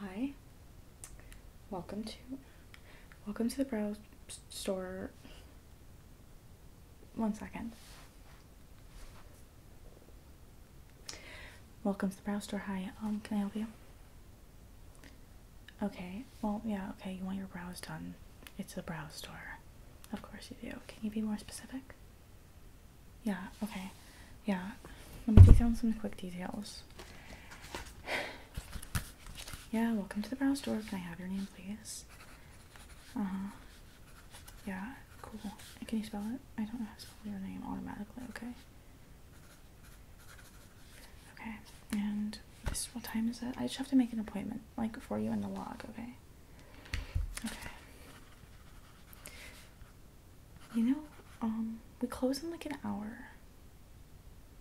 Hi. Welcome to welcome to the brow store one second. Welcome to the Brow Store. Hi, um, can I help you? Okay, well, yeah, okay, you want your brows done. It's the Brow Store. Of course you do. Can you be more specific? Yeah, okay. Yeah. Let me take down some quick details. Yeah, welcome to the brown store. Can I have your name, please? Uh huh. Yeah, cool. can you spell it? I don't know how to spell your name automatically, okay? Okay, and this, what time is it? I just have to make an appointment, like, for you in the log, okay? Okay. You know, um, we close in like an hour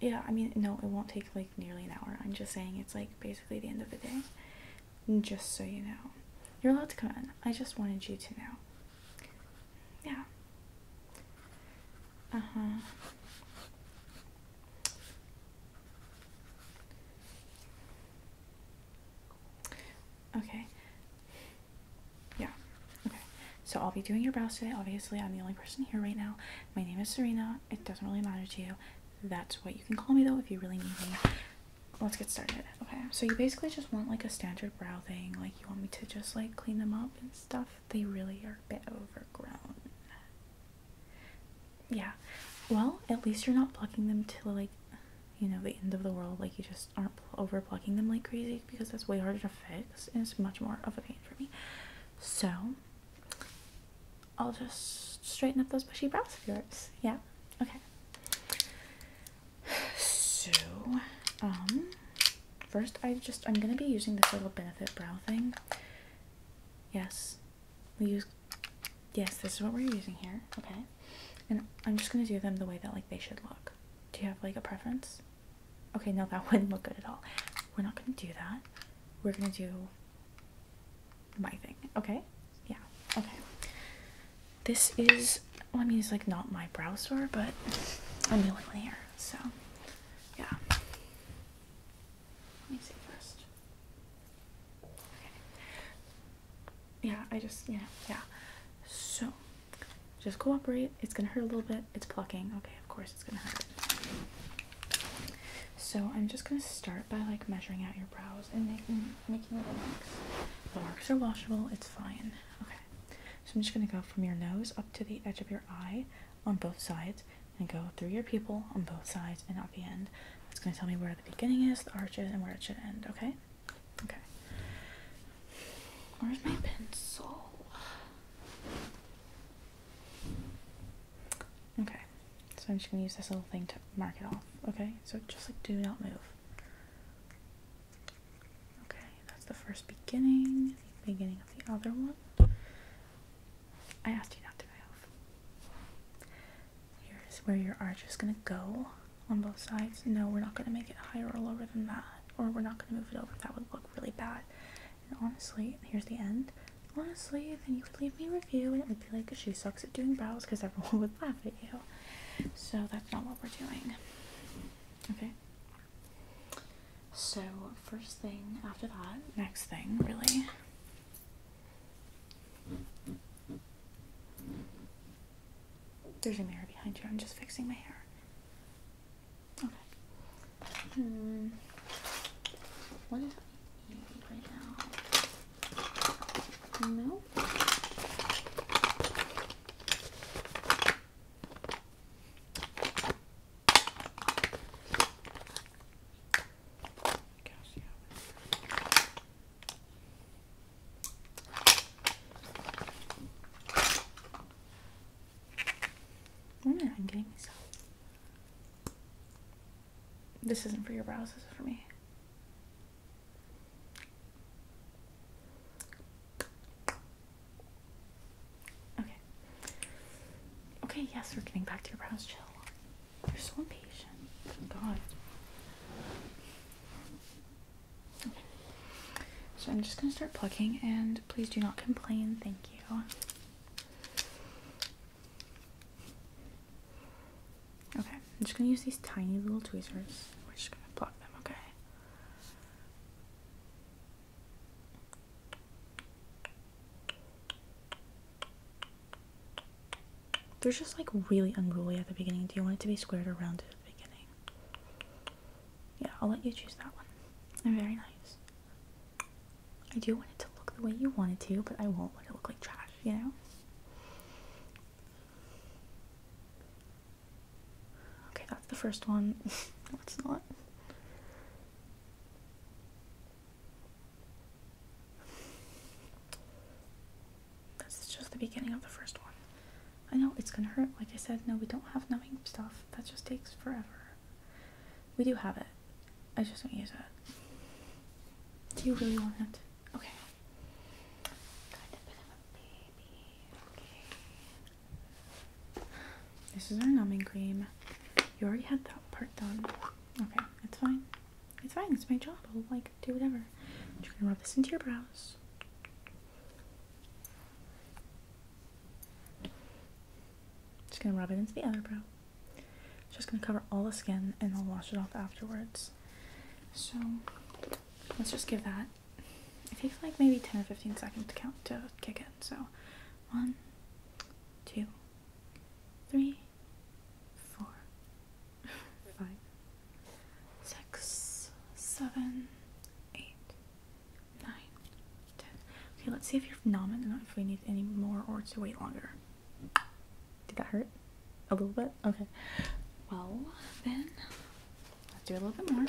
yeah, I mean, no, it won't take like nearly an hour. I'm just saying it's like basically the end of the day. Just so you know, you're allowed to come in. I just wanted you to know. Yeah. Uh huh. Okay. Yeah. Okay. So I'll be doing your brows today. Obviously, I'm the only person here right now. My name is Serena it doesn't really matter to you. That's what you can call me though if you really need me. Let's get started. Okay, so you basically just want like a standard brow thing. Like you want me to just like clean them up and stuff. They really are a bit overgrown. Yeah. Well, at least you're not plucking them to like, you know, the end of the world. Like you just aren't over plucking them like crazy because that's way harder to fix and it's much more of a pain for me. So I'll just straighten up those bushy brows of yours. Yeah. Okay. So, um, first I just I'm gonna be using this little benefit brow thing. Yes, we use. Yes, this is what we're using here. Okay, and I'm just gonna do them the way that like they should look. Do you have like a preference? Okay, no, that wouldn't look good at all. We're not gonna do that. We're gonna do my thing. Okay? Yeah. Okay. This is I mean it's like not my brow store, but I'm the only one here, so yeah. Let me see first. Okay. Yeah, I just yeah, yeah. So just cooperate. It's gonna hurt a little bit. It's plucking. Okay, of course it's gonna hurt. So I'm just gonna start by like measuring out your brows and making making little marks. The marks are washable. It's fine. Okay. So I'm just gonna go from your nose up to the edge of your eye on both sides, and go through your pupil on both sides and at the end. It's gonna tell me where the beginning is, the arch is, and where it should end. Okay. Okay. Where's my pencil? Okay, so I'm just gonna use this little thing to mark it off. Okay, so just like do not move. Okay, that's the first beginning, the beginning of the other one. I asked you not to move. Here's where your arch is gonna go on both sides. No, we're not gonna make it higher or lower than that, or we're not gonna move it over. That would look really bad. And honestly, here's the end. Honestly, and you would leave me a review and it would be like she sucks at doing brows because everyone would laugh at you. So that's not what we're doing. Okay. So, first thing after that, next thing, really. There's a mirror behind you. I'm just fixing my hair. Okay. Hmm. What is eating right now? No. I'm getting myself. This isn't for your brows, this is for me. Okay. Okay, yes, we're getting back to your brows, chill. You're so impatient. God. So I'm just going to start plucking and please do not complain. Thank you. Okay, I'm just going to use these tiny little tweezers. We're just going to pluck them, okay? They're just like really unruly at the beginning. Do you want it to be squared or rounded at the beginning? yeah, I'll let you choose that one. They're very nice. I do want it to look the way you want it to, but I won't let it look like trash, you know? Okay, that's the first one. That's not. This is just the beginning of the first one. I know it's gonna hurt. Like I said, no, we don't have numbing stuff. That just takes forever. We do have it. I just don't use it. Do you really want it? Okay. This is our numbing cream. You already had that part done. Okay, it's fine. It's fine. It's my job. I'll like do whatever. you're gonna rub this into your brows. Just gonna rub it into the other brow. Just gonna cover all the skin and I'll wash it off afterwards. So let's just give that. It takes like maybe 10 or 15 seconds to count to kick in. So one, two, three, four, five, six, seven, eight, nine, ten. Okay, let's see if you're phenomenal if we need any more or to wait longer. Did that hurt? A little bit? Okay. Well, then, let's do a little bit more.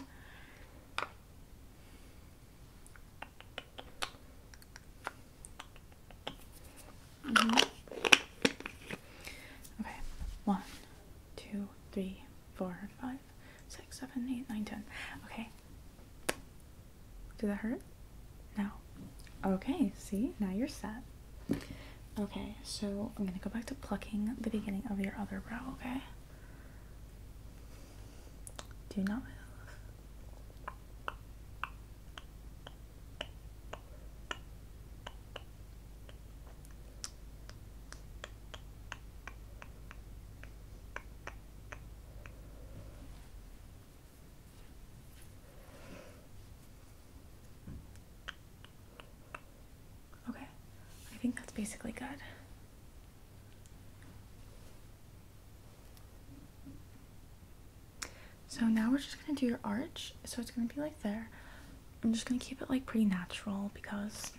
Mm-hmm. Okay, one two, three, four, five, six, seven, eight, nine, ten. Okay. Did that hurt? No. Okay, see? Now you're set. Okay, so I'm gonna go back to plucking the beginning of your other brow, okay? Do not move. Okay, I think that's basically good. So now we're just gonna do your arch. So it's gonna be like there. I'm just gonna keep it like pretty natural because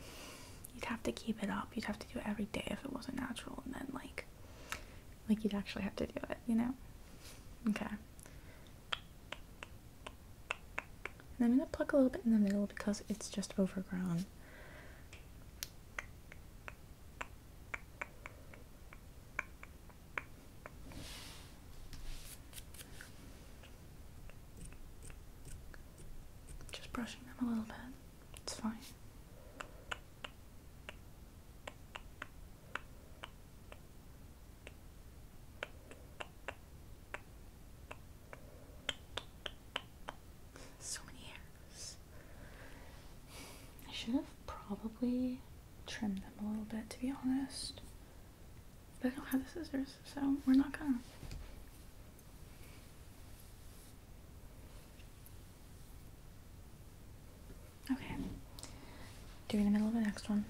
you'd have to keep it up. You'd have to do it every day if it wasn't natural and then like like you'd actually have to do it, you know? Okay. And I'm gonna pluck a little bit in the middle because it's just overgrown. Just brushing them a little bit, it's fine. So many hairs. I should have probably trimmed them a little bit to be honest. But I don't have the scissors, so we're not gonna. Okay. Doing the middle of the next one.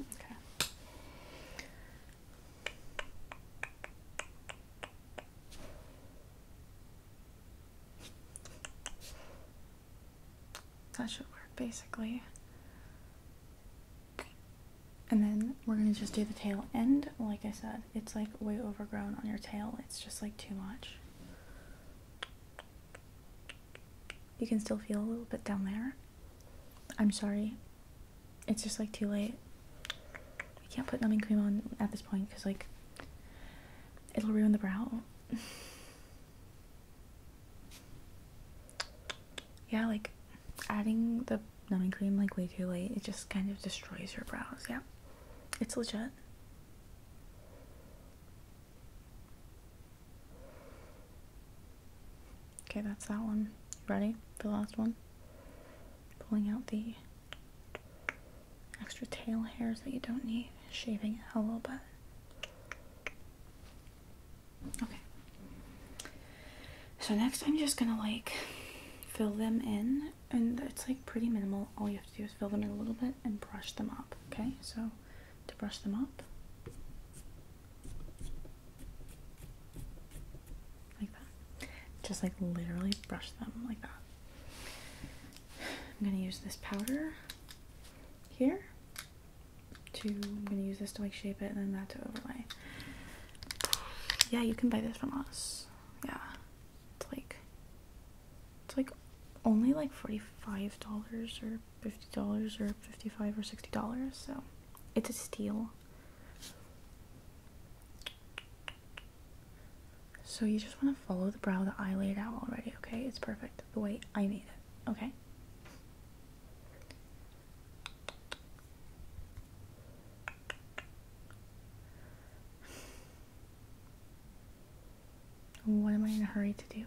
Okay. That should work basically. And then we're going to just do the tail end. Like I said, it's like way overgrown on your tail. It's just like too much. You can still feel a little bit down there. I'm sorry. It's just like too late. We can't put numbing cream on at this point because like it'll ruin the brow yeah, like adding the numbing cream like way too late, it just kind of destroys your brows. Yeah, it's legit. Okay, that's that one. Ready for the last one? Pulling out the extra tail hairs that you don't need, shaving a little bit. Okay. So next I'm just gonna like fill them in and it's like pretty minimal. All you have to do is fill them in a little bit and brush them up. Okay, so to brush them up. Like that. Just like literally brush them like that. I'm gonna use this powder here to, I'm going to use this to like shape it and then that to overlay. Yeah, you can buy this from us. Yeah. It's like, it's like only like $45 or $50 or 55 or $60. So it's a steal. So you just want to follow the brow that I laid out already, okay? It's perfect the way I made it, okay? What am I in a hurry to do?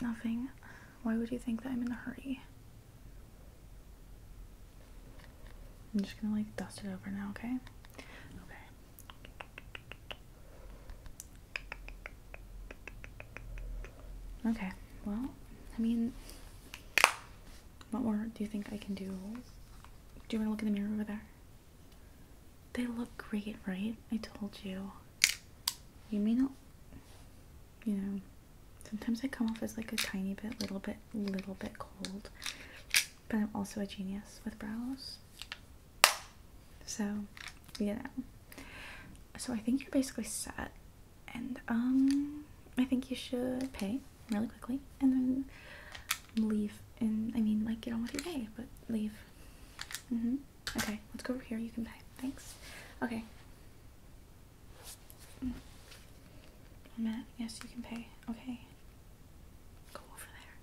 Nothing. Why would you think that I'm in a hurry? I'm just gonna like dust it over now, okay? Okay. Okay, well, I mean, what more do you think I can do? Do you want to look in the mirror over there? They look great, right? I told you. You may not, you know, sometimes I come off as like a tiny bit, little bit, little bit cold, but I'm also a genius with brows. So, you know. So I think you're basically set. And um I think you should pay really quickly and then leave and I mean like get on with your day, but leave. Mm-hmm. Okay, let's go over here. You can pay. Thanks. Okay. Mm. Matt, yes, you can pay. Okay. Go over there.